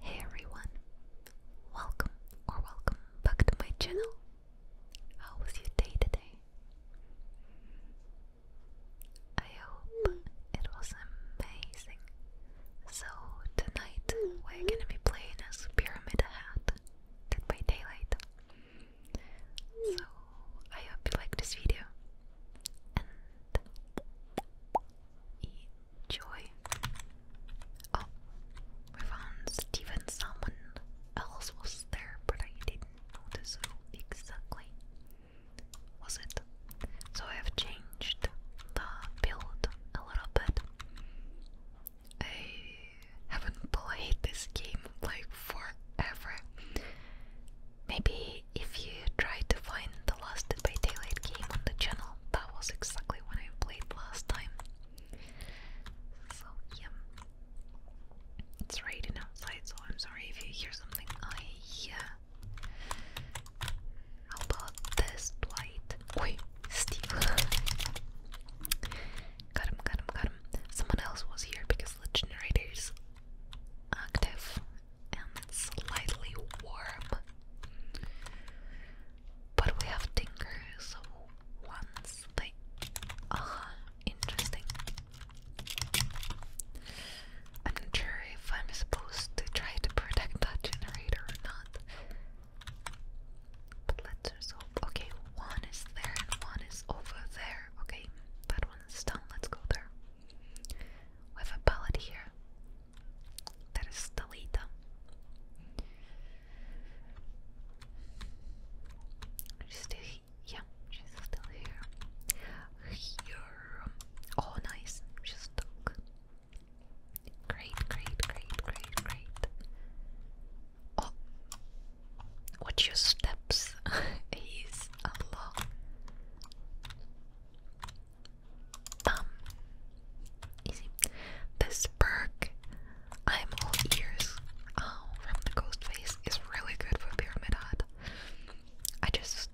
Hey everyone, welcome or welcome back to my channel. How was your day today? I hope it was amazing. So, tonight we're gonna be playing as Pyramid Hat, Dead by Daylight. So, I hope you like this video. And Joy. Oh, we found Steven. Someone else was there, but I didn't notice exactly was it. So I have changed the build a little bit. I haven't played this game like forever. Maybe if you try to find the Last by Daylight game on the channel, that was exactly when I played last time. So, yeah. It's raining outside, so I'm sorry if you hear something. I, How about this, Dwight? Oi, Steve. got him, got Someone else was here because the generator's active and slightly warm. But we have Tinker, so once they. Ah, interesting. I'm not sure if I'm supposed to try to protect that generator or not. But let's just Okay, one is there and one is over there. Okay, that one done. Let's go there. We have a pallet here that is Stalita. She's still here. Oh, nice. She's stuck. Great, great, great, great, great. Oh, your steps. He's a lot. Bum. Easy. This perk, I'm all ears, oh, from the ghost is really good for Pyramid Head. I just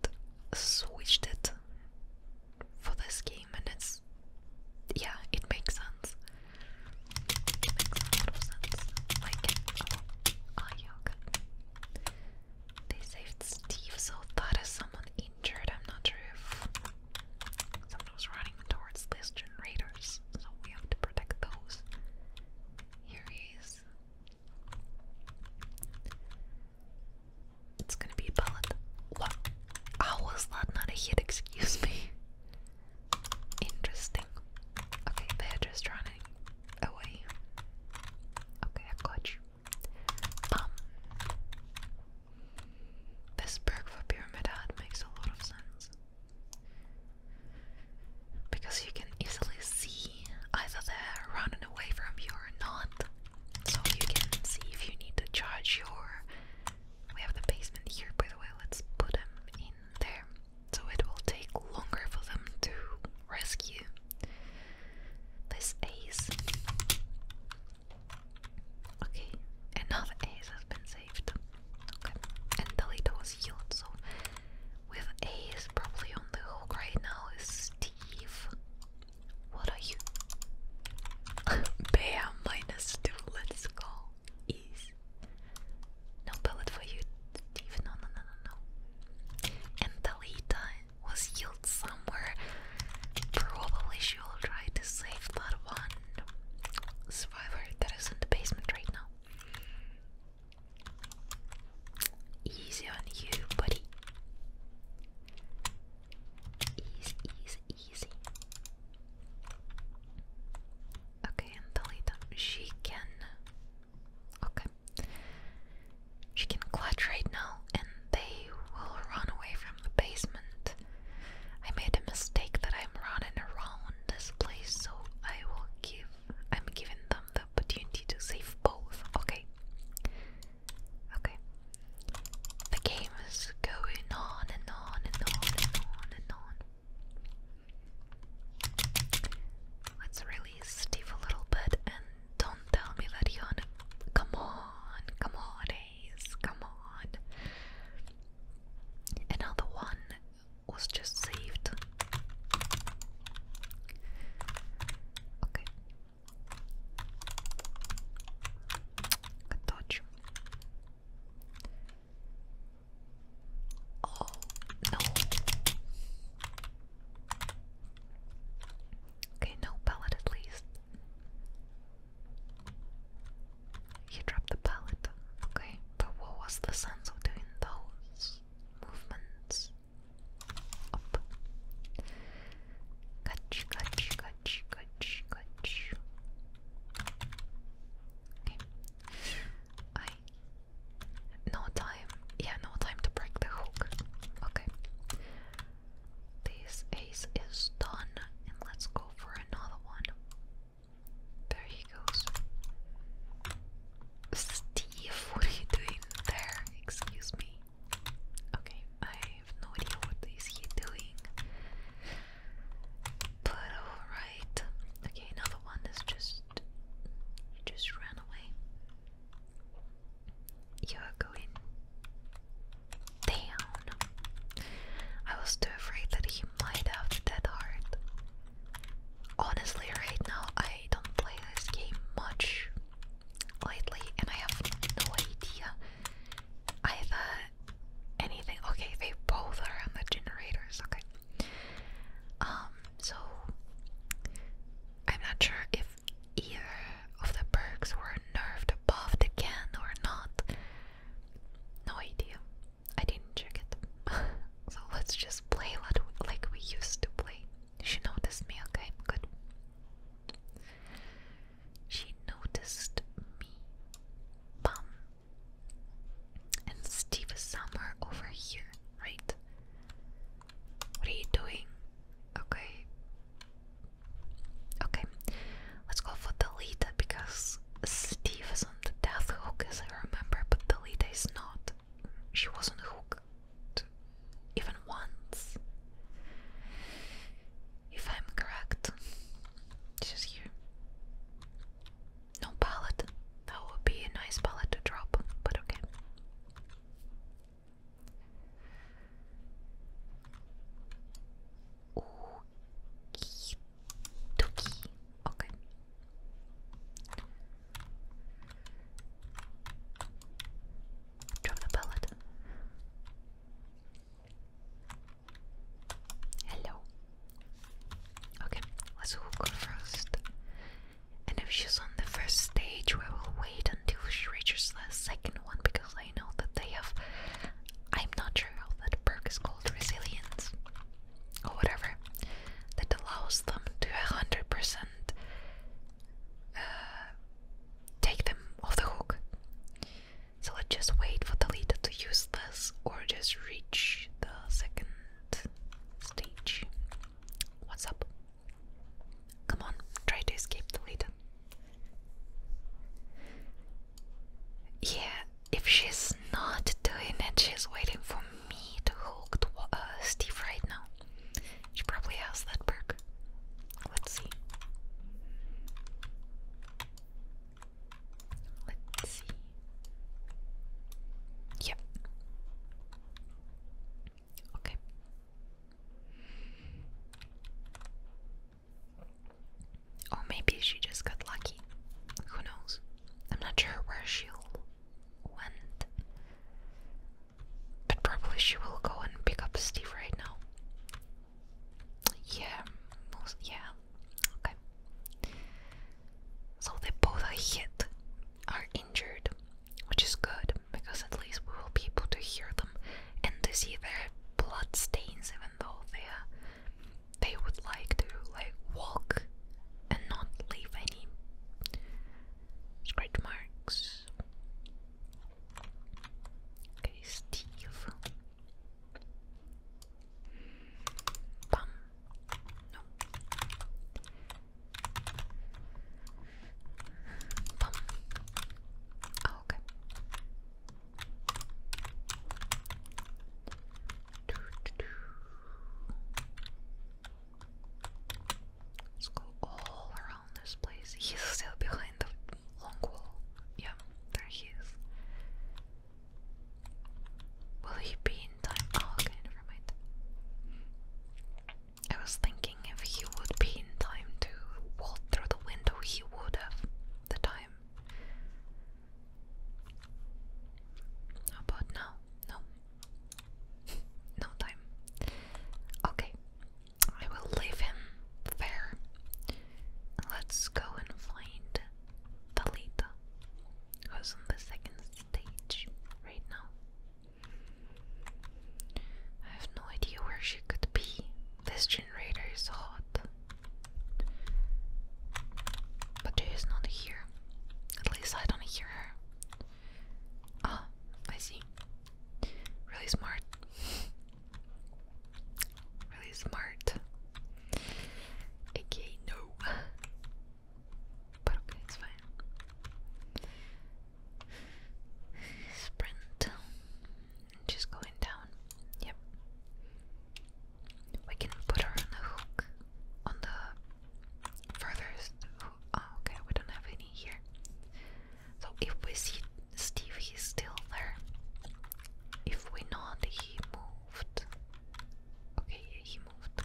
switched it for this game and it's, yeah, it makes sense. It makes a lot of sense. Like, oh, oh They saved Steve, so that is someone injured. I'm not sure if someone was running towards these generators, so we have to protect those. Here he is. It's gonna be a bullet. What? How was that not a hit? Excuse me. Interesting. Okay, they're just running away. Okay, I got you. Um, this perk for Pyramid Head makes a lot of sense. Because you can easily see either they're running away from you or not. So you can see if you need to charge your. We have the basement here, by the way, let's put them in there. So it will take longer for them to rescue this ace. Okay, another ace has been saved. Okay, and the was healed, so with ace probably on the hook right now is Steve. What are you? Bam, minus two, let's go. No bullet for you, Steve. No, no, no, no, no. And Talita was healed somewhere. Probably she will try to save that one survivor that is in the basement right now. Easy on you, buddy. Easy, easy, easy. Okay, and Talita, she can. Okay. She can clutch right now, and they will run away from the basement. I made a mistake that I'm running around this place, so I will give I'm giving them the opportunity to save both. Okay. Okay. The game is going on and on and on and on and on. Let's release Steve a little bit and don't tell me that you're on a come on, come on, eh? come on. Another one was just saved. Okay. Good Oh no. Okay, no pellet at least. He dropped the pallet, okay, but what was the sense of doing those movements? Up. Catch, catch, catch, catch, catch. I. No time. Yeah, no time to break the hook. Okay. This ace is done, and let's go for another one. There he goes. Steve, what are you doing there? Excuse me. Okay, I have no idea what is he doing. But alright. Okay, another one is just just ran away. You're going down. I was too afraid that he might have the dead heart. Honestly, right now I don't play this game much lately, and I have no idea either anything. Okay, they both are on the generators. Okay, um, so I'm not sure if either of the perks were nerfed above the can or not. No idea. I didn't check it. so let's just play like we used to play. She noticed me, okay? Good. She noticed me. Bum. And Steve is somewhere over here, right? What are you doing? Okay. Okay, let's go for Delita because Steve is on the death hook as I remember, but Delita is not. She wasn't hooked even once. If I'm correct, this here. No palette. That would be a nice palette to drop, but okay. Tuki. Okay. Drop the pellet. Hello. Okay, let's hook her first. And if she's on the first stage, we will wait until she reaches the second one because I know that they have. I'm not sure how that perk is called resilience or whatever that allows them to 100% uh, take them off the hook. So let's just wait for the leader to use this or just reach the second stage. What's up? Come on, try to escape the leader. Yeah, if she's not doing it, she's waiting for me to hook to, uh, Steve right now. She probably has that perk. Let's see. Let's see. Yep. Okay. Or maybe she just got lucky. Who knows? I'm not sure where she'll went. But probably she will go and pick up Steve right now. Yeah, yeah. Okay. So they both are hit, are injured, which is good because at least we will be able to hear them and to see their blood stains, even though they are they would like to like walk and not leave any scratch marks. Okay, Steve. Bum. No. Bum. Oh, okay. Let's go all around this place. He's still behind the long wall. Yeah, there he is. Will he be in time? Oh, never mind. I was thinking if he would be in time to walk through the window, he would have the time about now? No. no time. Okay. I will leave him there. Let's go and find Talita, who's on the second stage right now. I have no idea where she could be. This generator is hot. But Jay is not here. At least I don't hear her. Ah, I see. Really smart. really smart. Okay, no. But okay, it's fine. Sprint. Just going down. Yep. We can put her on the hook, on the furthest hook. Oh, okay, we don't have any here. So if we see Steve, he's still there. If we not, he moved. Okay, he moved.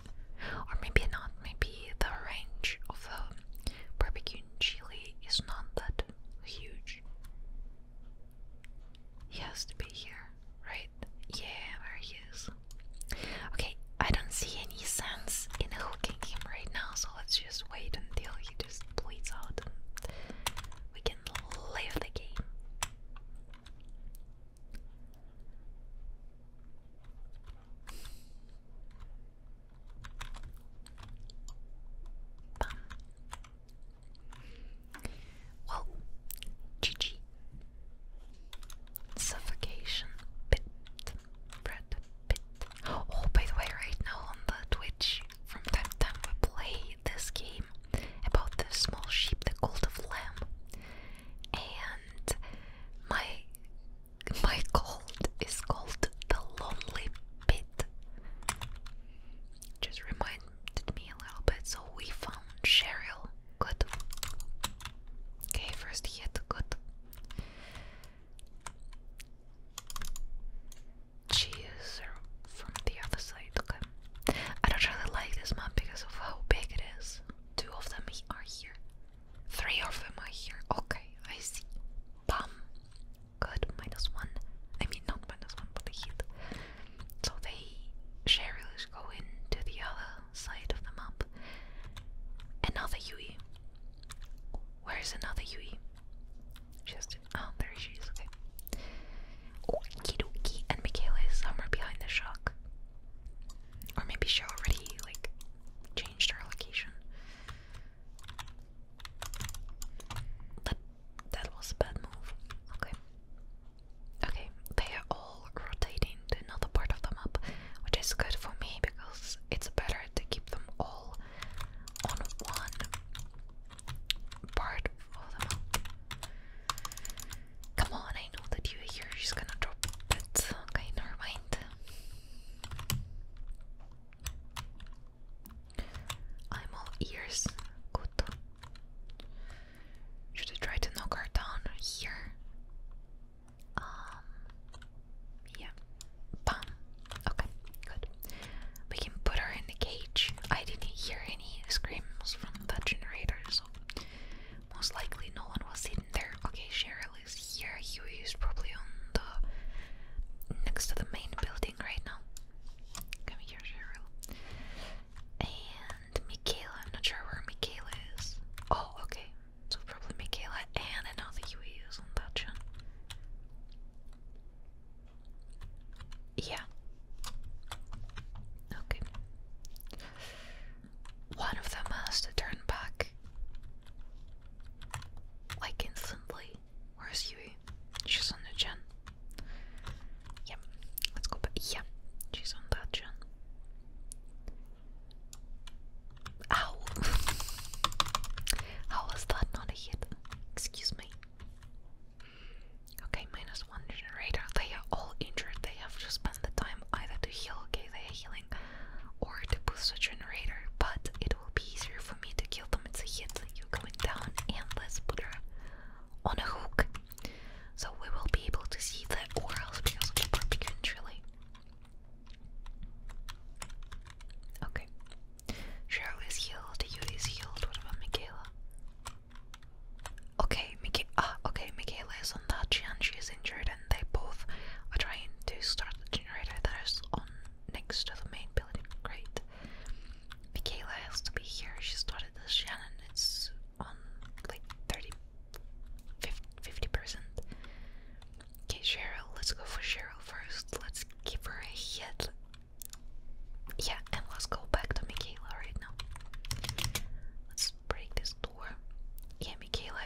Or maybe not, maybe the range of the um, barbecue chili is not that huge. He has to be here, right? Yeah, where he is. Okay, I don't see any sense in hooking him right now, so let's just wait until he just bleeds out and we can leave the game. Whoa, GG. Suffocation bit, bread pit. Oh, by the way, right now on the Twitch, from time to time we play this game about the small sheep, the cult of lamb, and my my cult is called the lonely pit. Just reminded me a little bit. So we found Cheryl Good. Okay, first hit. Good. Cheese from the other side. Okay. I don't really like this map because of how big it is. Two of them are here. Three of them are here. Okay, I see. Bam. Good. Minus one. I mean, not minus one, but hit. So they Cheryl's going to the other side of the map. Another Yui. Where's another Yui? Just oh there she is, okay. Okie dokie, and Michaela is somewhere behind the shock. Or maybe she already like changed her location. That that was a bad move. Okay. Okay, they are all rotating to another part of the map, which is good for me because it's better to keep them all on one part of the map. Come on, I know that you are here, gonna drop it. Okay, never mind. I'm all ears. Good. Should I try to knock her down here? Um yeah. Bam. Okay, good. We can put her in the cage. I didn't hear any screams from the generator, so most likely no one was in there. Okay, Cheryl is here. You is probably on the next to the main building right now. Come here, Cheryl and Michaela. I'm not sure where Michaela is. Oh, okay. So probably Michaela and all the is on that gen. Yeah. Okay. One of them has to turn back. Like instantly. Where's Yui? She's on the gen. Yep, let's go back. she's on that gen. Ow! How was that not a hit? Excuse me. Okay, minus one generator. They are all injured. They have to spend the time either to heal, okay, they are healing, or to boost a generator. But it will be easier for me to kill them. It's a hit. You're down, and let's put her on a hook. So we will be able to see the orals because of the barbecue and Okay. Cheryl healed, Yuri healed, what about Michaela? Okay, Mika ah, okay, Michaela is on that, Chianchi is injured and they both are trying to start the generator that is on next to the main building. Great. Michaela has to be here, she started this Shannon, it's on like 30 percent. Okay, Cheryl, let's go for Cheryl first. Let's give her a hit. Yeah, and let's go back to Michaela right now. Let's break this door. Yeah, Michaela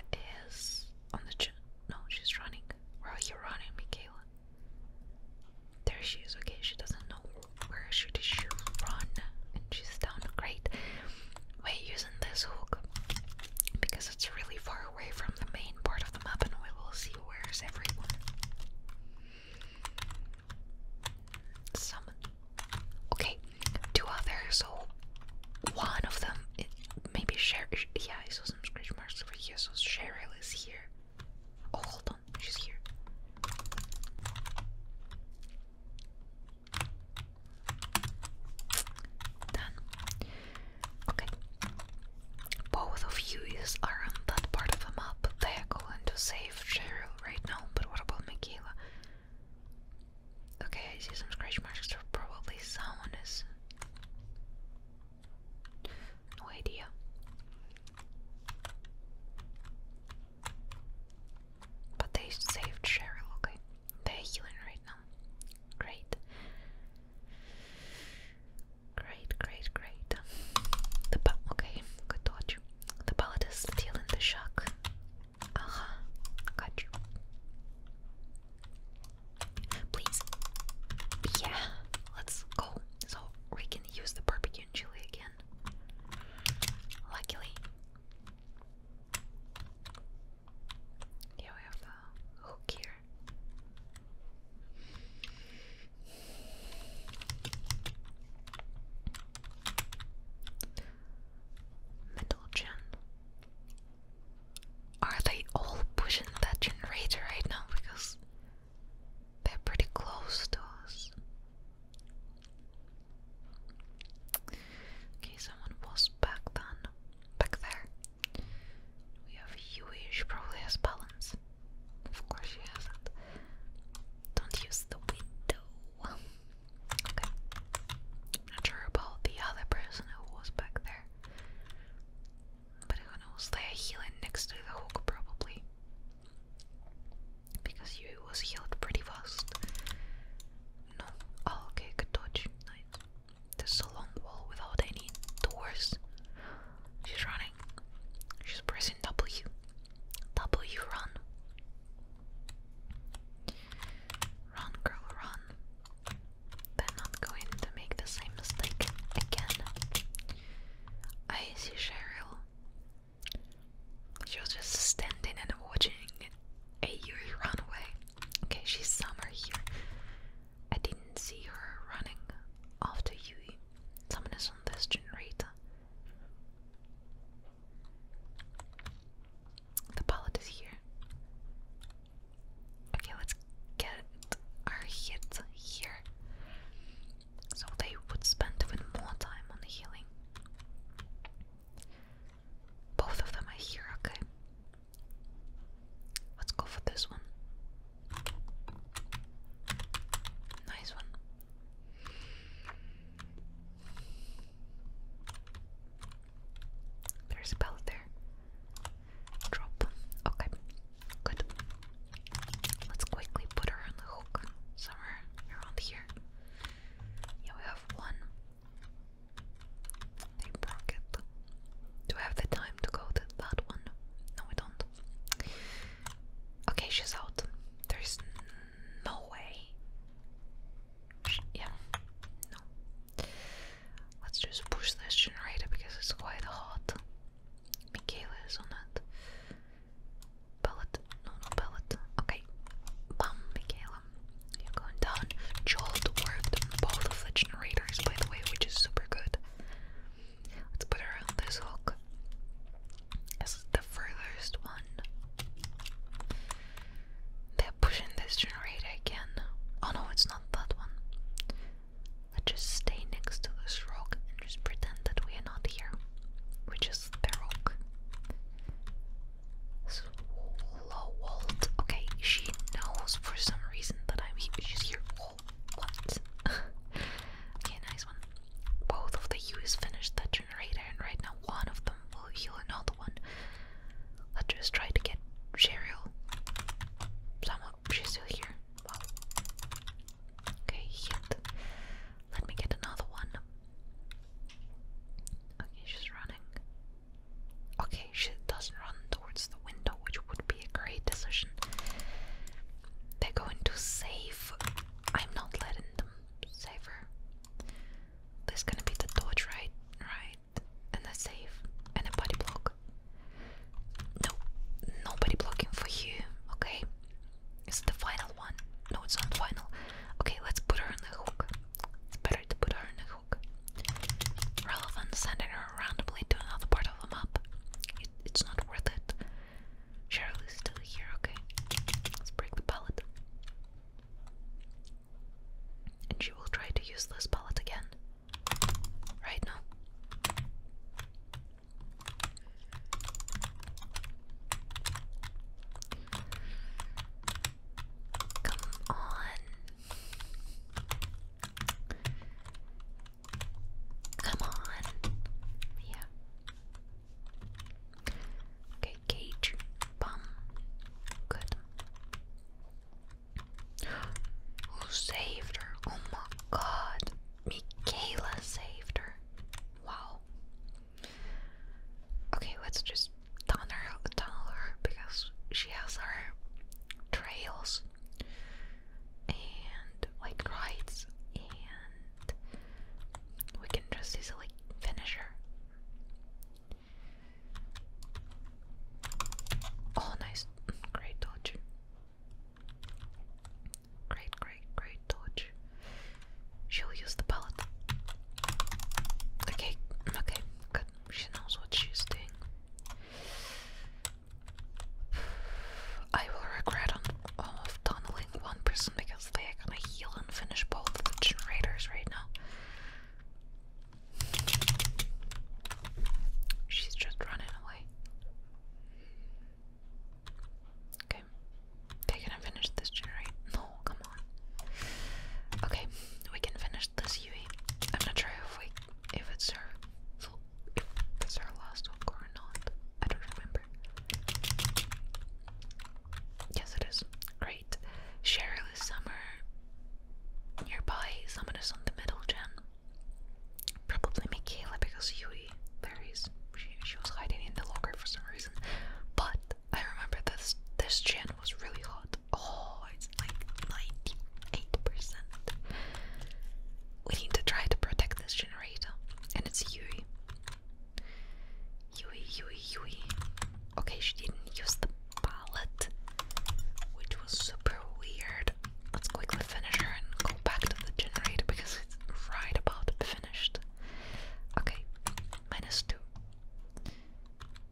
is on the No, she's running. Where are you running, Michaela? There she is. Okay, she doesn't know where should she run? And she's down. Great. We're using this hook because it's really far away from the main part of the map, and we will see where's everyone. Summon. Okay, two others. So one of them, maybe Sherry. Yeah, I saw some scratch marks over here. So Cheryl is here. Oh, hold on, she's here. Done. Okay. Both of you are on that part of the map. They are going to save Cheryl right now, but what about Michaela? Okay, I see some scratch marks. So probably someone is. No idea. But they saved Cheryl, okay? They're healing right now. Great. Great, great, great. The pa okay, good dodge. The bullet is still in the shock. Aha, uh-huh. got you. Please. Yeah, let's go. So we can use the barbecue and chili again. Luckily. Yeah, we have Middle gen. Are they all pushing that generator right now? Because they're pretty close to us. Okay, someone was back then. Back there. We have Yui, she probably has balance. Of course she hasn't. Don't use the window. Okay. not sure about the other person who was back there. But who knows? They are healing next to the hook, probably because you was healed pretty fast. No, oh, okay, good dodge. Nice. There's a long wall without any doors. She's running. She's pressing W. W run. Run, girl, run. They're not going to make the same mistake again. I see Cheryl. She was just standing and watching a Yuri run away. Okay, she's somewhere here. I didn't see her running after you. Someone is on this generator. The pilot is here. Okay, let's get our hit here. So they would spend even more time on healing. Both of them are here, okay. Let's go for this one. Nice one. There's a pellet there. Drop. Okay. Good. Let's quickly put her on the hook somewhere around here. Yeah, we have one, they broke Do we have the time to go to that one? No, we don't. Okay, she's out. There's no way. yeah, no. Let's just push this generator because it's quite hot. Michaela is on it. Pellet? No, no pellet. Okay. Bam, Michaela you're going down. Jolt worked both of the generators, by the way, which is super good. Let's put her this hook. This is the furthest one. They're pushing this generator again. Oh no, it's not that one. Let's just stay next to this rock and just pretend that we are not here. Which is the rock. Slowald. Okay, she knows for some reason that I'm here. She's here. Oh, what? okay, nice one. Both of the U's finished the generator, and right now one of them will heal another one. Let's just try to get Cheryl. Someone, she's still here. Okay, hit. Let me get another one. Okay, she's running. Okay, she doesn't run towards the window, which would be a great decision. They're going to save. I'm not letting them save her. There's gonna be the dodge, right? Right. And a save. And a body block. No, nobody blocking for you, okay? Is it the final one? No, it's not final. Okay, let's put her on the hook. It's better to put her on the joke. sending her randomly to another part of the map, it's not worth it. Cheryl is still here, okay? Let's break the pallet. And she will try to use this pallet again. Right now. Come on. Come on. Yeah. Okay, cage. Bum. Good. Who saved her? Oh my god. Michaela saved her. Wow. Okay, let's just tunnel, tunneler because she has her trails and like rides and we can just easily finish her. Oh nice, great dodge. Great, great, great dodge. She'll use the pellet. Okay, okay, good. She knows what she's doing. I will regret on, uh, tunneling one person because they are gonna heal and finish both the generators right now. She's just running away. Okay. They gonna finish this generator. No, come on. Okay, we can finish there's this I'm not sure if we if it's her it's her last walk or not. I don't remember. Yes it is. Great. Cheryl is somewhere nearby. Someone is on the middle gen. Probably Michaela because Yui, there is she, she was hiding in the locker for some reason. But I remember this this channel was really hot. Oh, it's like ninety-eight percent. We need to try to protect this generator, and it's Yui. Yui, Yui, Yui. Okay, she didn't use the pallet, which was super weird. Let's quickly finish her and go back to the generator because it's right about finished. Okay, minus two.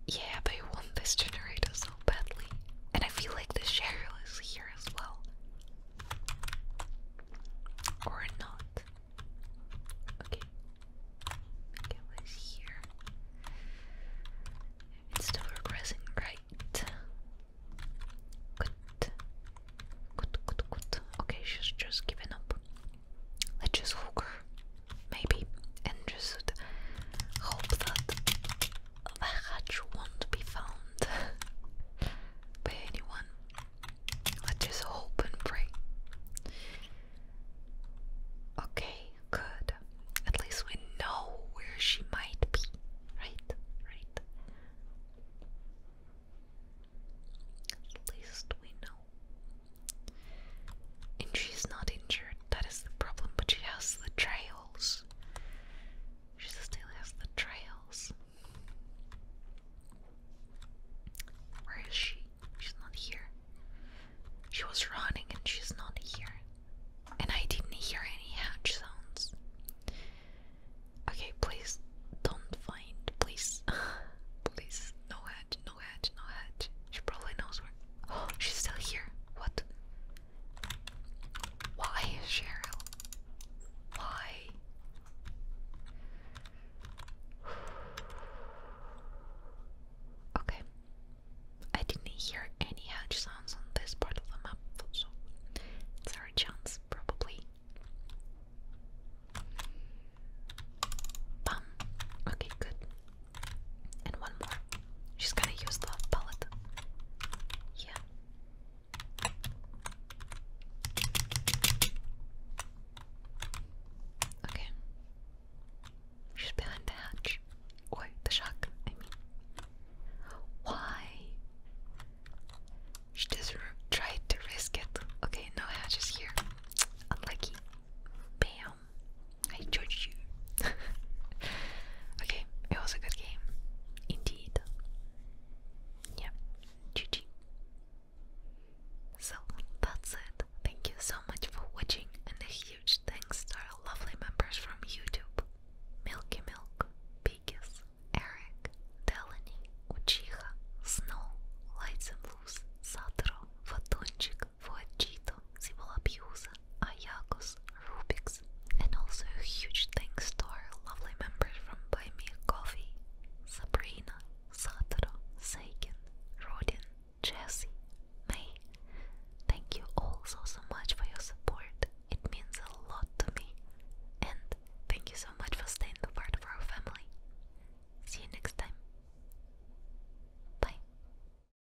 Yeah, but I want this generator so badly. And I feel like the Cheryl is here as well. Or not. Okay. Okay, what is here? It's still progressing, right? Good. Good, good, good. Okay, she's just giving up. Let's just hook her maybe, and just hope that the hatch won't be found by anyone. Let's just hope and pray. Okay, good. At least we know where she might be, right? Right? At least we know. And she is not injured, that is the problem, but she has the trails. She still has the trails. Where is she? She's not here. She was running and she's not here. And I didn't hear any hatch sounds. Okay, please don't find. Please. please, no hatch no head, no head. She probably knows where. Oh, she's still here. What? Why, Cheryl? Why? Okay. I didn't hear any hatch sounds on this part of the map, so it's chance, probably. Okay, good. And one more. She's gonna use the pellet. Yeah. Okay. She's behind the hatch. Or the shack, I mean. Why? She doesn't to risk it. Okay, no hatches here. Unlucky. Bam! I judged you. okay, it was a good game. Indeed. Yeah, GG. So that's it. Thank you so much for watching, and a huge thanks to our lovely members from YouTube Milky Milk, Biggis, Eric, Delaney, Uchiha, Snow, Lights and Blues, Satro, Vatunchik, for Fuachito, Cibola Abuse, Ayakos, Rubix, and also a huge thanks to our lovely members from Buy Me a Coffee, Sabrina, Satoru, Seiken, Rodin, Jessie, May. Thank you all so so much for your support. It means a lot to me. And thank you so much for staying a part of our family. See you next time. Bye.